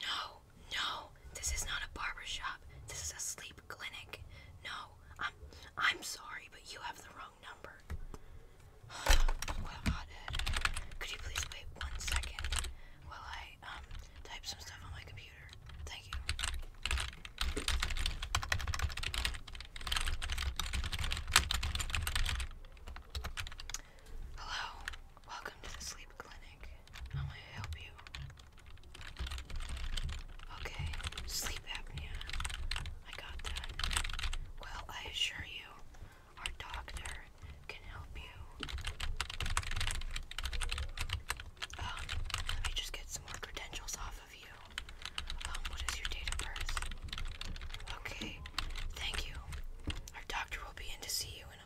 No, no, this is not a barber shop. This is a sleep clinic. No, I'm I'm sorry, but you have the wrong number. Could you please wait one second while I um type some stuff on my computer? Thank you. Hello, welcome to the sleep clinic. How may I help you? Okay, sleep apnea. I got that. Well, I assure you, our doctor can help you. Um, let me just get some more credentials off of you. Um, what is your date of birth? Okay, thank you. Our doctor will be in to see you in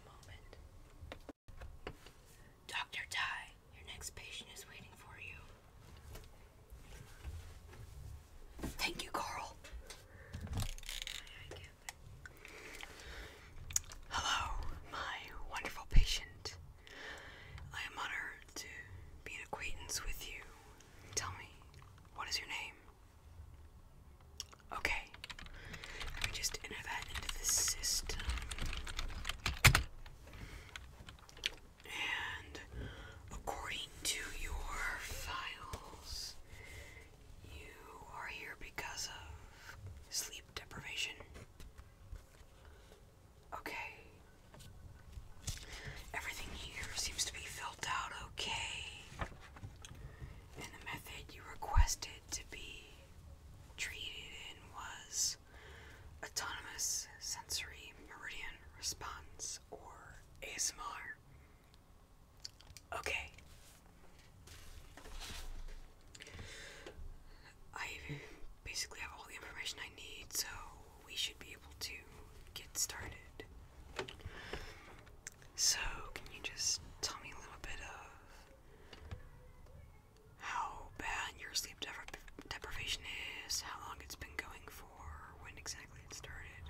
Dr. Tai, your next patient is waiting for you. Thank you, Carl. Hello, my wonderful patient. I am honored to be an acquaintance with you. Tell me, what is your name? Okay. Let me just enter that into the system. And according to your files, you are here because of sleep deprivation. Okay. Everything here seems to be filled out okay and the method you requested to be treated in was autonomous sensory meridian response or ASMR. Okay. I basically have all the information I need, so we should be able to get started. So, can you just tell me a little bit of how bad your sleep deprivation is, how long it's been going for, when exactly it started,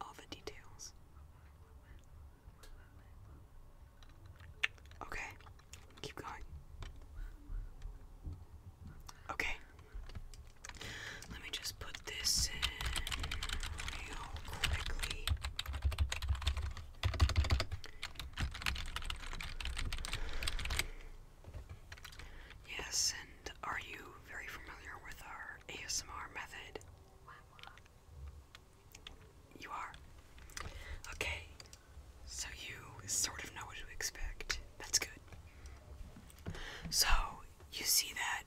all the details? Okay, keep going. Okay, let me just put this in real quickly. Yes, and are you very familiar with our ASMR method? You are? Okay, so you sort of know what to expect. That's good. So, you see that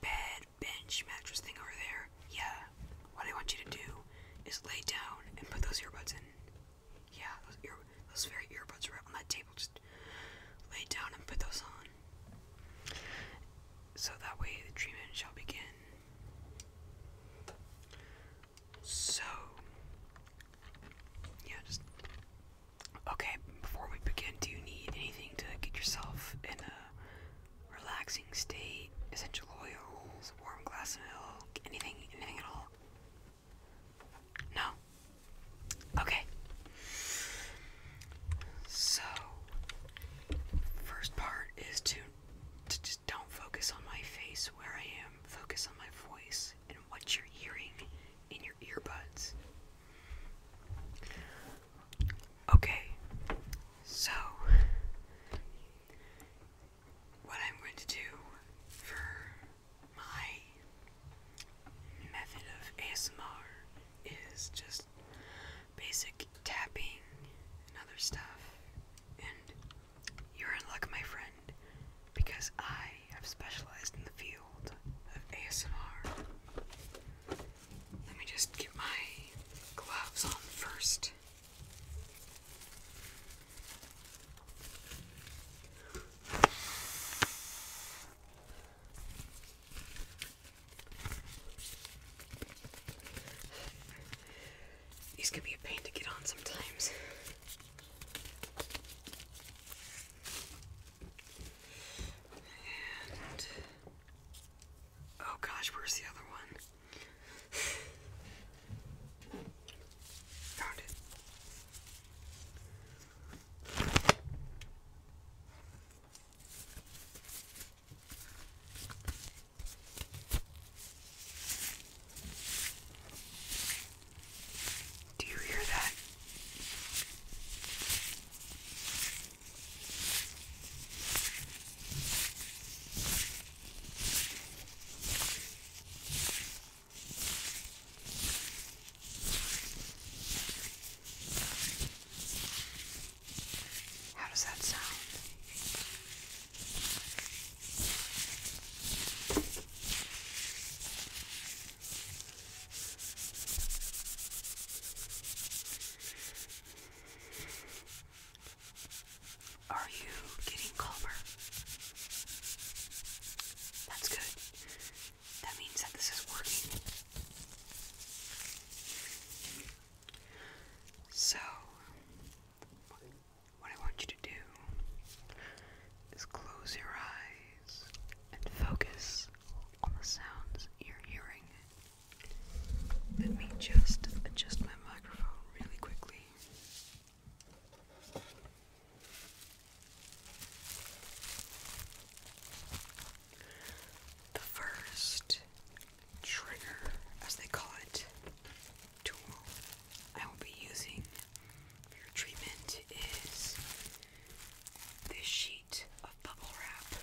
bed, bench, mattress thing over there? Yeah. What I want you to do is lay down and put those earbuds in. Yeah, those, ear, those very earbuds right on that table. Just lay down and put those on. So that way the treatment shall begin. So, yeah, just Okay, before we begin, do you need anything to get yourself in a relaxing state? Essential oils, warm glass of milk, anything, anything at all? No? Okay. So, first part is to, to just don't focus on my face where I am, focus on my voice and what you're hearing in your earbuds. Okay, so what I'm going to do for my method of ASMR is just basic tapping and other stuff. And you're in luck, my friend because I have specialized in the field of ASMR. Let me just get my gloves on first. These can be a pain to get on sometimes. And oh gosh, where's the other one? Found it. Do you hear that? How does that sound? Are you getting calmer? That's good. That means that this is working. So, what I want you to do is close your eyes and focus on the sounds you're hearing. Let me just adjust my microphone really quickly. The first trigger, as they call it, tool I will be using your treatment is this sheet of bubble wrap.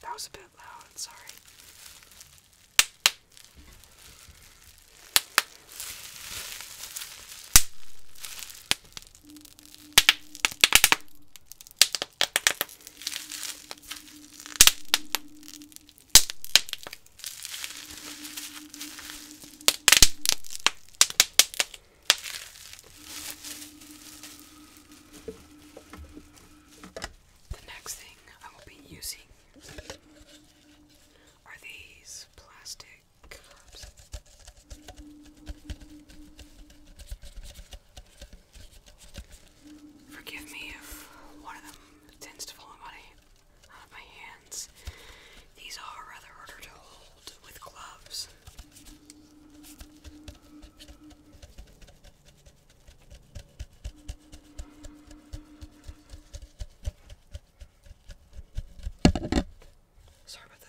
That was a bit loud, sorry. The next thing I will be using are these plastic cups. Forgive me if one of them tends to fall out of my hands. These are rather harder to hold with gloves. Sorry about that.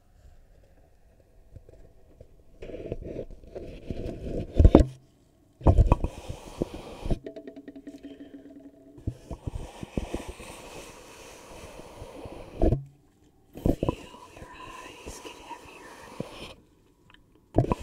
Feel your eyes get heavier. Feel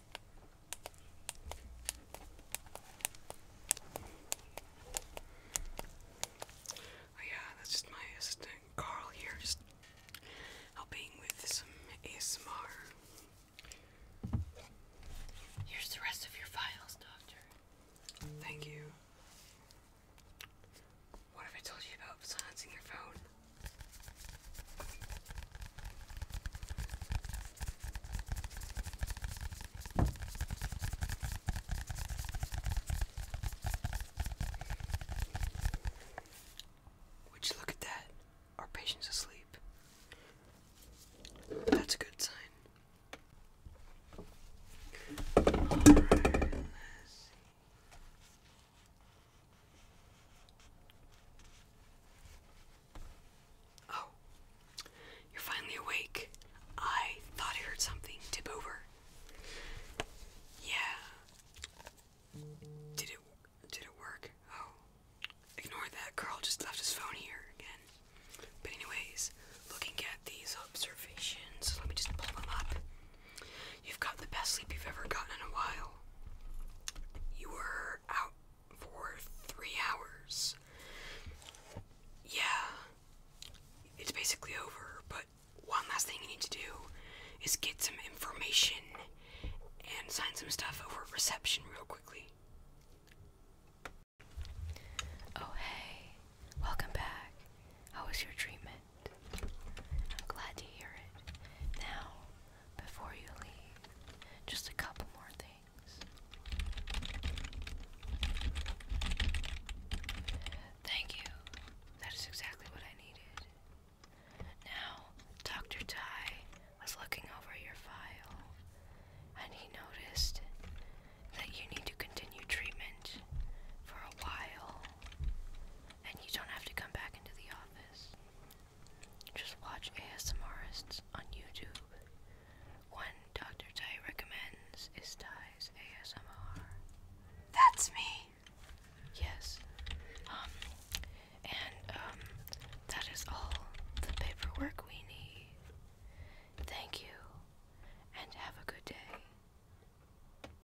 Oh yeah, that's just my assistant Carl here, just helping with some ASMR. Here's the rest of your files, Doctor. Thank you. What have I told you about silencing your phone? Would you look at that? Our patient's asleep. That's a good sign. Oh, you're finally awake. I thought I heard something tip over. Yeah. Did it did it work? Oh. Ignore that Carl just left his phone here again. But anyways, looking at these observations, let me just pull them up. You've got the best sleep you've ever gotten in a while. You were out for three hours. Yeah, it's basically over, but one last thing you need to do is get some information and sign some stuff over reception real quickly. Oh, hey, welcome back. How was your treatment? I'm glad to hear it. Now, before you leave, just a couple more things. Thank you. That is exactly what I needed. Now, Dr. Ty was looking over your file, and he noticed that you need to continue treatment for a while and you don't have to come back into the office. Just watch ASMRists on YouTube. One Dr. Tai recommends is Tai's ASMR. That's me! Yes. Um, and, um, that is all the paperwork we need. Thank you, and have a good day.